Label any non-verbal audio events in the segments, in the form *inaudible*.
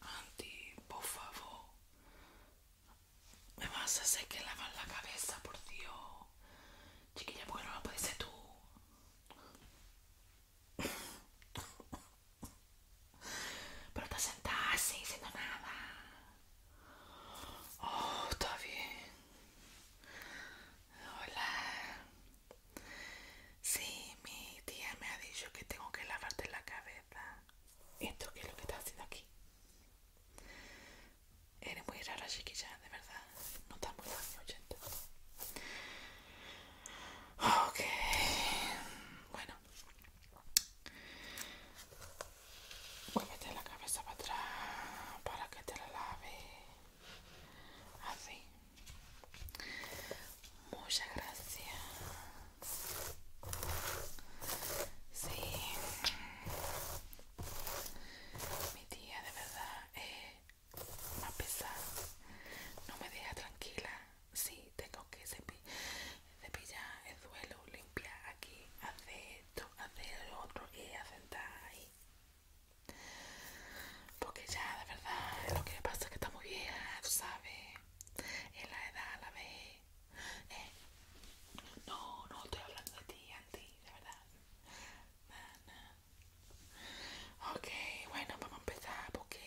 Anti, por favor, me vas a hacer que lavar la cabeza, por Dios. Chiquilla, bueno, lo puedes ser tú? Pero te sentás así, nada. Oh, está bien. Hola. Sí, mi tía me ha dicho que tengo que lavarte la cabeza. ¿Esto qué es lo que está haciendo aquí? Eres muy rara, chiquilla, de verdad. No estás muy años Okay. Ok. Bueno. Vuélvete la cabeza para atrás para que te la lave. Así. Muchas gracias. Sí. Mi tía de verdad es más pesada. No me deja tranquila. Sí, tengo que servir cepillar el suelo, limpia aquí, hace esto, hace lo otro y sentar ahí. Porque ya, de verdad, lo que pasa es que está muy vieja, tú sabes. En la edad, la vez. Eh, no, no estoy hablando de ti, Andy, de verdad. Ok, bueno, vamos a empezar porque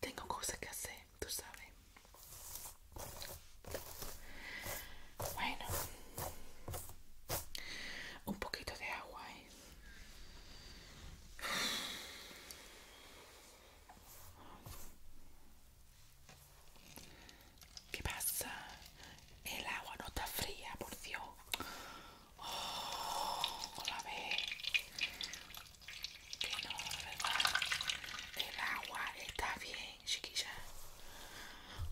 tengo cosas que hacer tú sabes. Bueno, un poquito de agua, ¿eh? ¿Qué pasa? El agua no está fría, por Dios. Oh, la que no, ¿verdad? El agua está bien, chiquilla.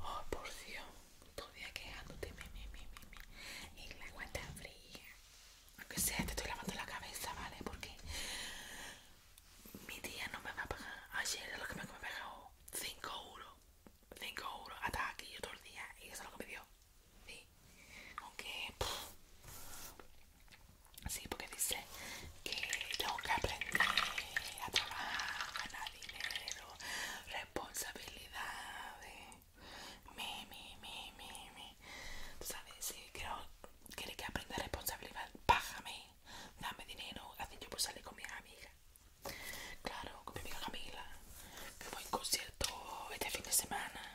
Oh, por Dios, todavía quejándote, mi, mi, mi, El agua está fría. Aunque sea, te estoy lavando la cabeza, ¿vale? Porque mi tía no me va a pagar. Ayer es lo que me pagado. 5 euros. 5 euros. Hasta aquí yo todo el día. Y eso es lo que me dio. Sí. Aunque, Sí, porque dice que tengo que aprender a trabajar, ganar dinero, responsabilidades. Mi, mi, mi, mi, mi. sabes, si quiero, quieres que aprenda responsabilidad, Bájame, dame dinero, así yo puedo salir con mi amiga. Claro, con mi amiga Camila, que voy en concierto este fin de semana.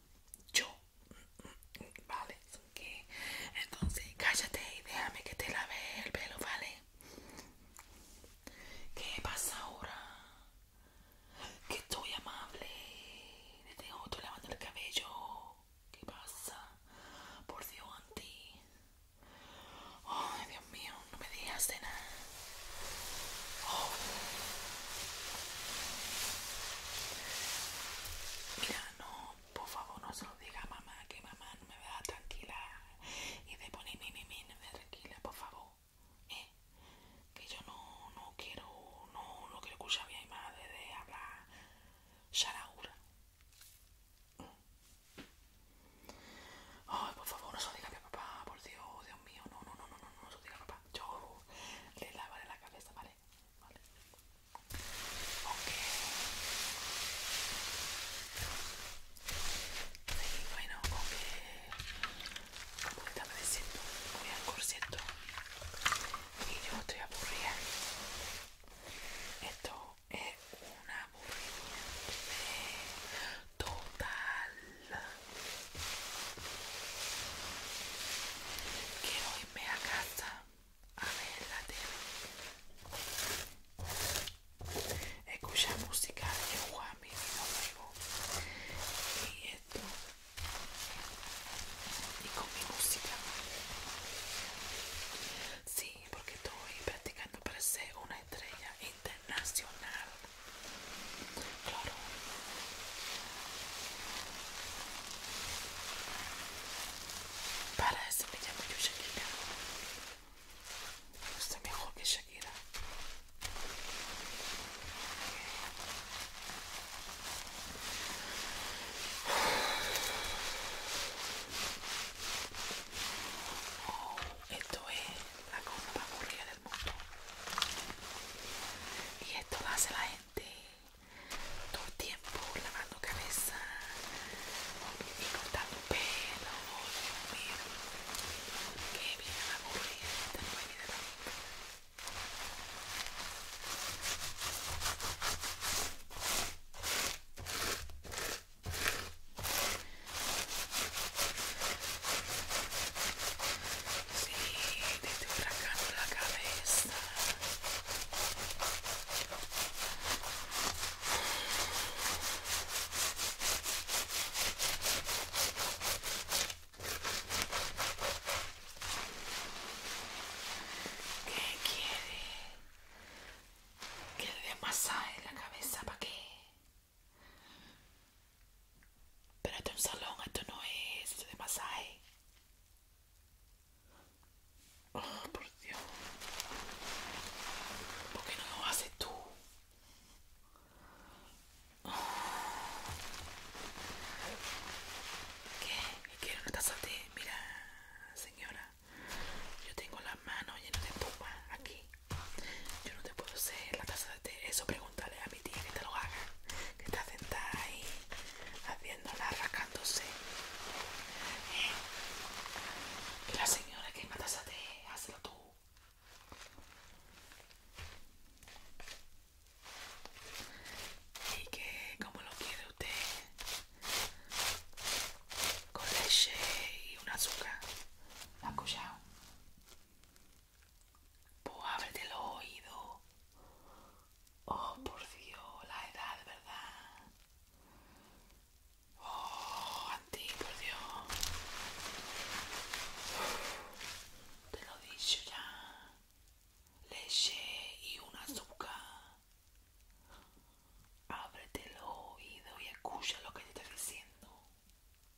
yo, ¿vale? ¿Qué? Entonces cállate y déjame que te lave el pelo, ¿vale? ¿Qué pasa ahora? Que estoy amable, Te tengo otro lavando el cabello. ¿Qué pasa? Por Dios, Anti. Ay, Dios mío, no me digas de nada. Mira, no, por favor, no se lo diga a mamá, que mamá no me vea tranquila y de poner mi, mi, mi, no me tranquila, por favor. ¿Eh? Que yo no, no quiero, no, no quiero escuchar a mi madre de hablar Sharaura. Ay, por favor, no se lo diga a mi papá, por Dios, mío, no, no, no, no, no, no, no, ropa. Yo le lavaré la cabeza, ¿vale? Vale. bueno, ok. Como estaba diciendo, voy no, Y yo estoy aburrida. Esto es una aburrimiento total que hoy me a casa a ver la tele. escuchar música de Juan mi Y esto. Y con mi música. Sí, porque estoy practicando para ser una estrella internacional. Claro. Para eso me llamo yo Shakira. sé, mejor que Shakira. Oh, esto es la compa aburrida y esto hace la gente todo el tiempo lavando cabeza y cortando pelo. Sí, te estoy la cabeza. ¿Qué quiere? ¿Que le masaje la cabeza para qué? Pero esto es un salón, esto no es, esto de masaje. Oh, por Dios. ¿Por qué no lo haces tú? Oh. ¿Qué? ¿Qué? es quiero? que estás a ti. Mira, señora. Yo tengo las manos llenas de espuma aquí. Yo no te puedo hacer la taza de té. Eso pregúntale a mi tía que te lo haga. Que está sentada ahí haciéndola, rascándose. Que la señora que es una taza de té, hazlo tú. Y que como lo quiere usted, con leche y un azúcar. ¿Lo pues ábrete los oídos. Oh, por Dios, la edad, ¿verdad? Oh, a ti, por Dios. Te lo he dicho ya. Leche y un azúcar. Ábrete los oídos y escucha lo que yo te estoy diciendo.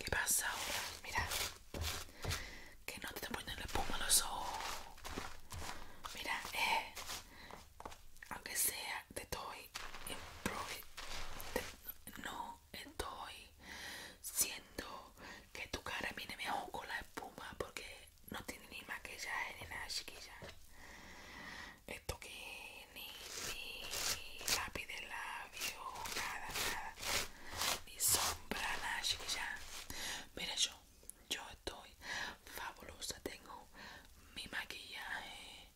¿Qué pasa ahora? Mira, que no te ponen poniendo el espuma los ojos. Mira, eh, aunque sea, te estoy, te no estoy siendo que tu cara viene mejor con la espuma porque no tiene ni maquillaje ni nada chiquilla esto que ni, lápiz de labio nada nada ni sombra nada chiquilla mira yo yo estoy fabulosa tengo mi maquillaje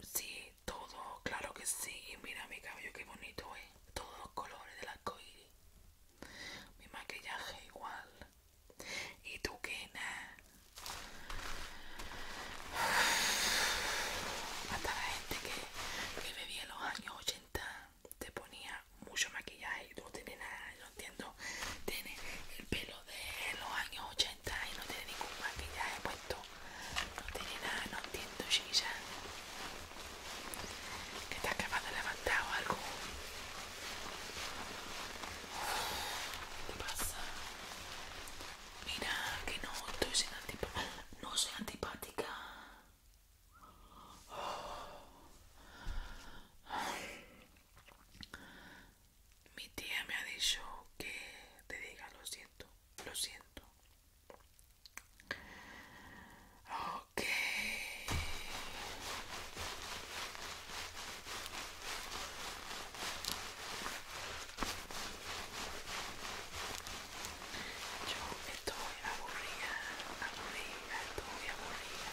Sí, todo, claro que sí. mira mi cabello, qué bonito es. ¿eh? Todos los colores de arco iris. Mi maquillaje igual. ¿Y tú qué, nada? Hasta la gente que, que bebía en los años 80 te ponía mucho maquillaje y tú no tienes nada. Yo no entiendo. Tienes el pelo de los años 80 y no tiene ningún maquillaje puesto, no tiene nada, no entiendo chicha que está acabado de levantar o algo ¿qué pasa? mira que no estoy siendo no soy antipática mi tía me ha dicho que te diga lo siento, lo siento. Ok. Yo estoy aburrida, aburrida, estoy aburrida.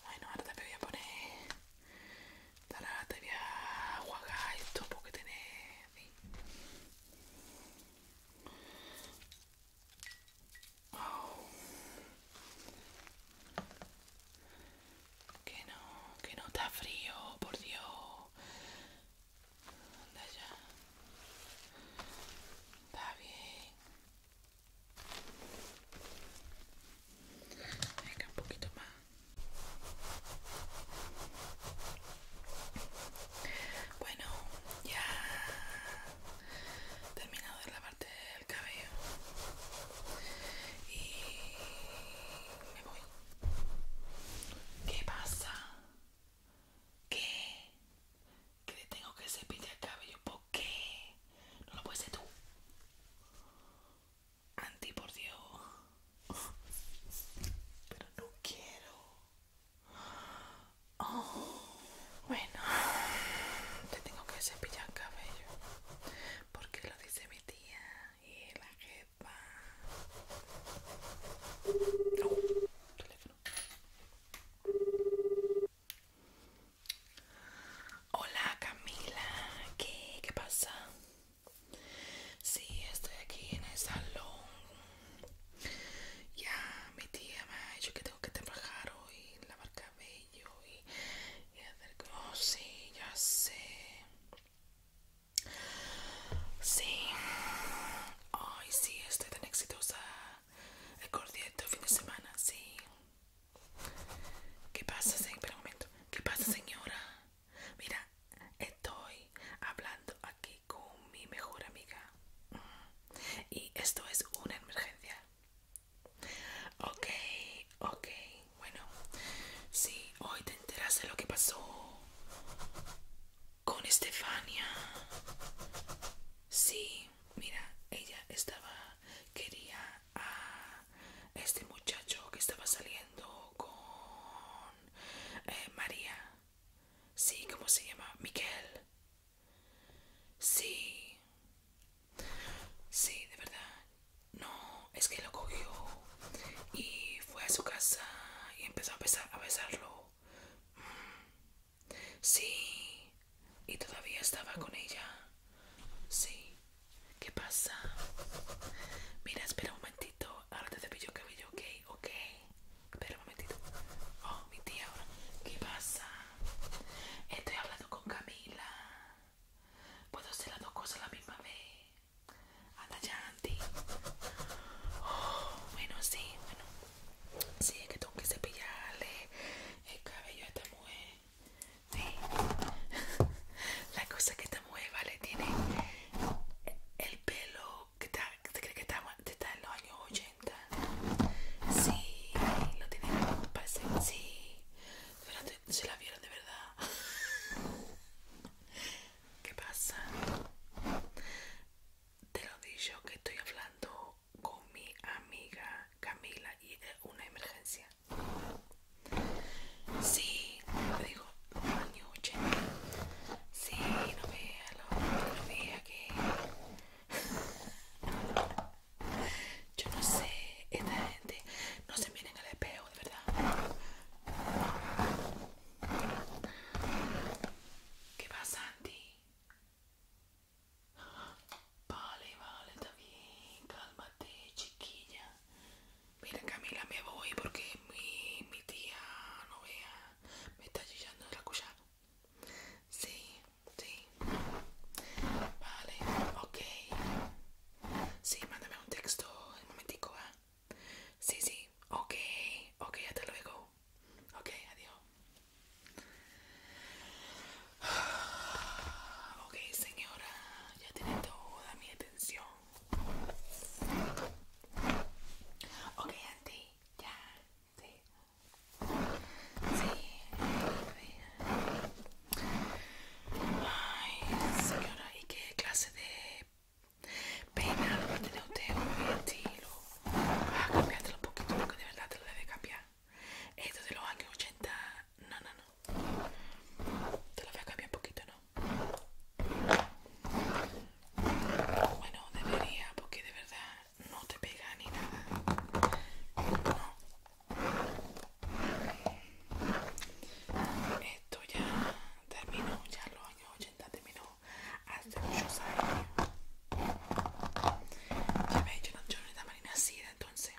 Bueno, ahora te voy a poner. Ahora te voy a jugar esto porque que oh. Que no, que no está frío, por Dios. Anda ya. Está bien. Venga, un poquito más. Bueno, ya he terminado la parte del cabello. Y me voy. ¿Qué pasa? ¿Qué? Que tengo que cepillar el cabello. un poco. ¿qué? No lo puedes hacer tú. Anti, por Dios. Pero no quiero. Oh, bueno, te tengo que cepillar el cabello. Porque lo dice mi tía y la jefa. Oh, teléfono. Hola Camila, ¿qué, qué pasa? Sí, estoy aquí en el salón. Ya, mi tía me ha dicho que tengo que trabajar hoy, lavar cabello y, hacer... Oh, sí, ya sé. Sí. Ay, sí, estoy tan exitosa. El cordial fin de semana, sí. ¿Qué pasa, señora? Espera momento. ¿Qué pasa, señora? Mira, estoy hablando aquí con mi mejor amiga. Y esto es una emergencia. Ok, ok. Bueno, sí, hoy te enteras de lo que pasó con Estefania. Sí, mira, ella estaba quería a este muchacho que estaba saliendo con eh, María. Sí, ¿cómo se llama? Miquel. Sí. Sí, de verdad. No, es que lo cogió y fue a su casa y empezó a, a besarlo. Sí. Y todavía estaba con ella. Sí. ¿Qué pasa? Mira, espera un momentito. Ahora te cepillo cabello, ok, ok. Espera un momentito. Oh, mi tía ahora. ¿Qué pasa? Estoy hablando con Camila. Puedo hacer las dos cosas la misma vez. Anda ya, Andy. Oh, bueno, sí, bueno. Sí, es que tengo que cepillarle el cabello está esta *laughs* La cosa que está mujer, vale, tiene el pelo que te cree que está, en los años 80. Sí, lo tiene, parece, sí. Espérate, se la vieron de verdad. *laughs* ¿Qué pasa? Te lo digo que estoy hablando con mi amiga Camila y es una emergencia. Sí, le digo, año Sí, no vea, lo, no vea que... *laughs* Yo no sé, esta gente no se miren al espejo, de verdad. ¿Qué pasa, Santi? Vale, vale, está bien. Cálmate, chiquilla. Mira, Camila, me voy porque mi, tía, no vea, me está chillando de la cuchara. Sí, sí. Vale, ok. Sí, mándame un texto un momentico, ¿ah? Sí, sí. Ok, ok, hasta luego. Okay, Ok, adiós. *sighs* Ok, señora, ya tiene toda mi atención. Ok, Andy, ya, sí. Sí, Ay, señora, ¿y qué clase de peinado va a tener usted? ¿Un estilo? a ah, cambiártelo un poquito porque de verdad te lo debe cambiar. Esto de los años 80, no, no, no. Te lo voy a cambiar un poquito, ¿no? Bueno, debería porque de verdad no te pega ni nada. Esto ya terminó, ya los años 80 terminó hace muchos años. Ya veis, yo no, yo no marina ni entonces.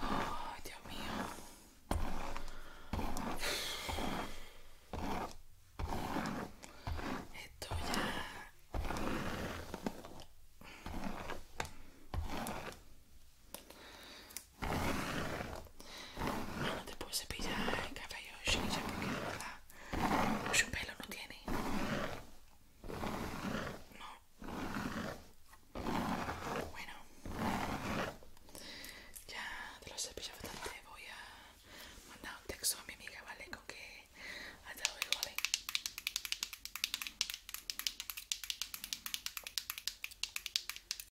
Oh Dios mío. Esto ya... Después no te puedo cepillar el cabello ya Shisha porque de verdad mucho pelo no tiene. No. Bueno. Ya te lo cepillado bastante. Voy a mandar un texto a mi amiga, ¿vale? Con que hasta luego, ¿vale?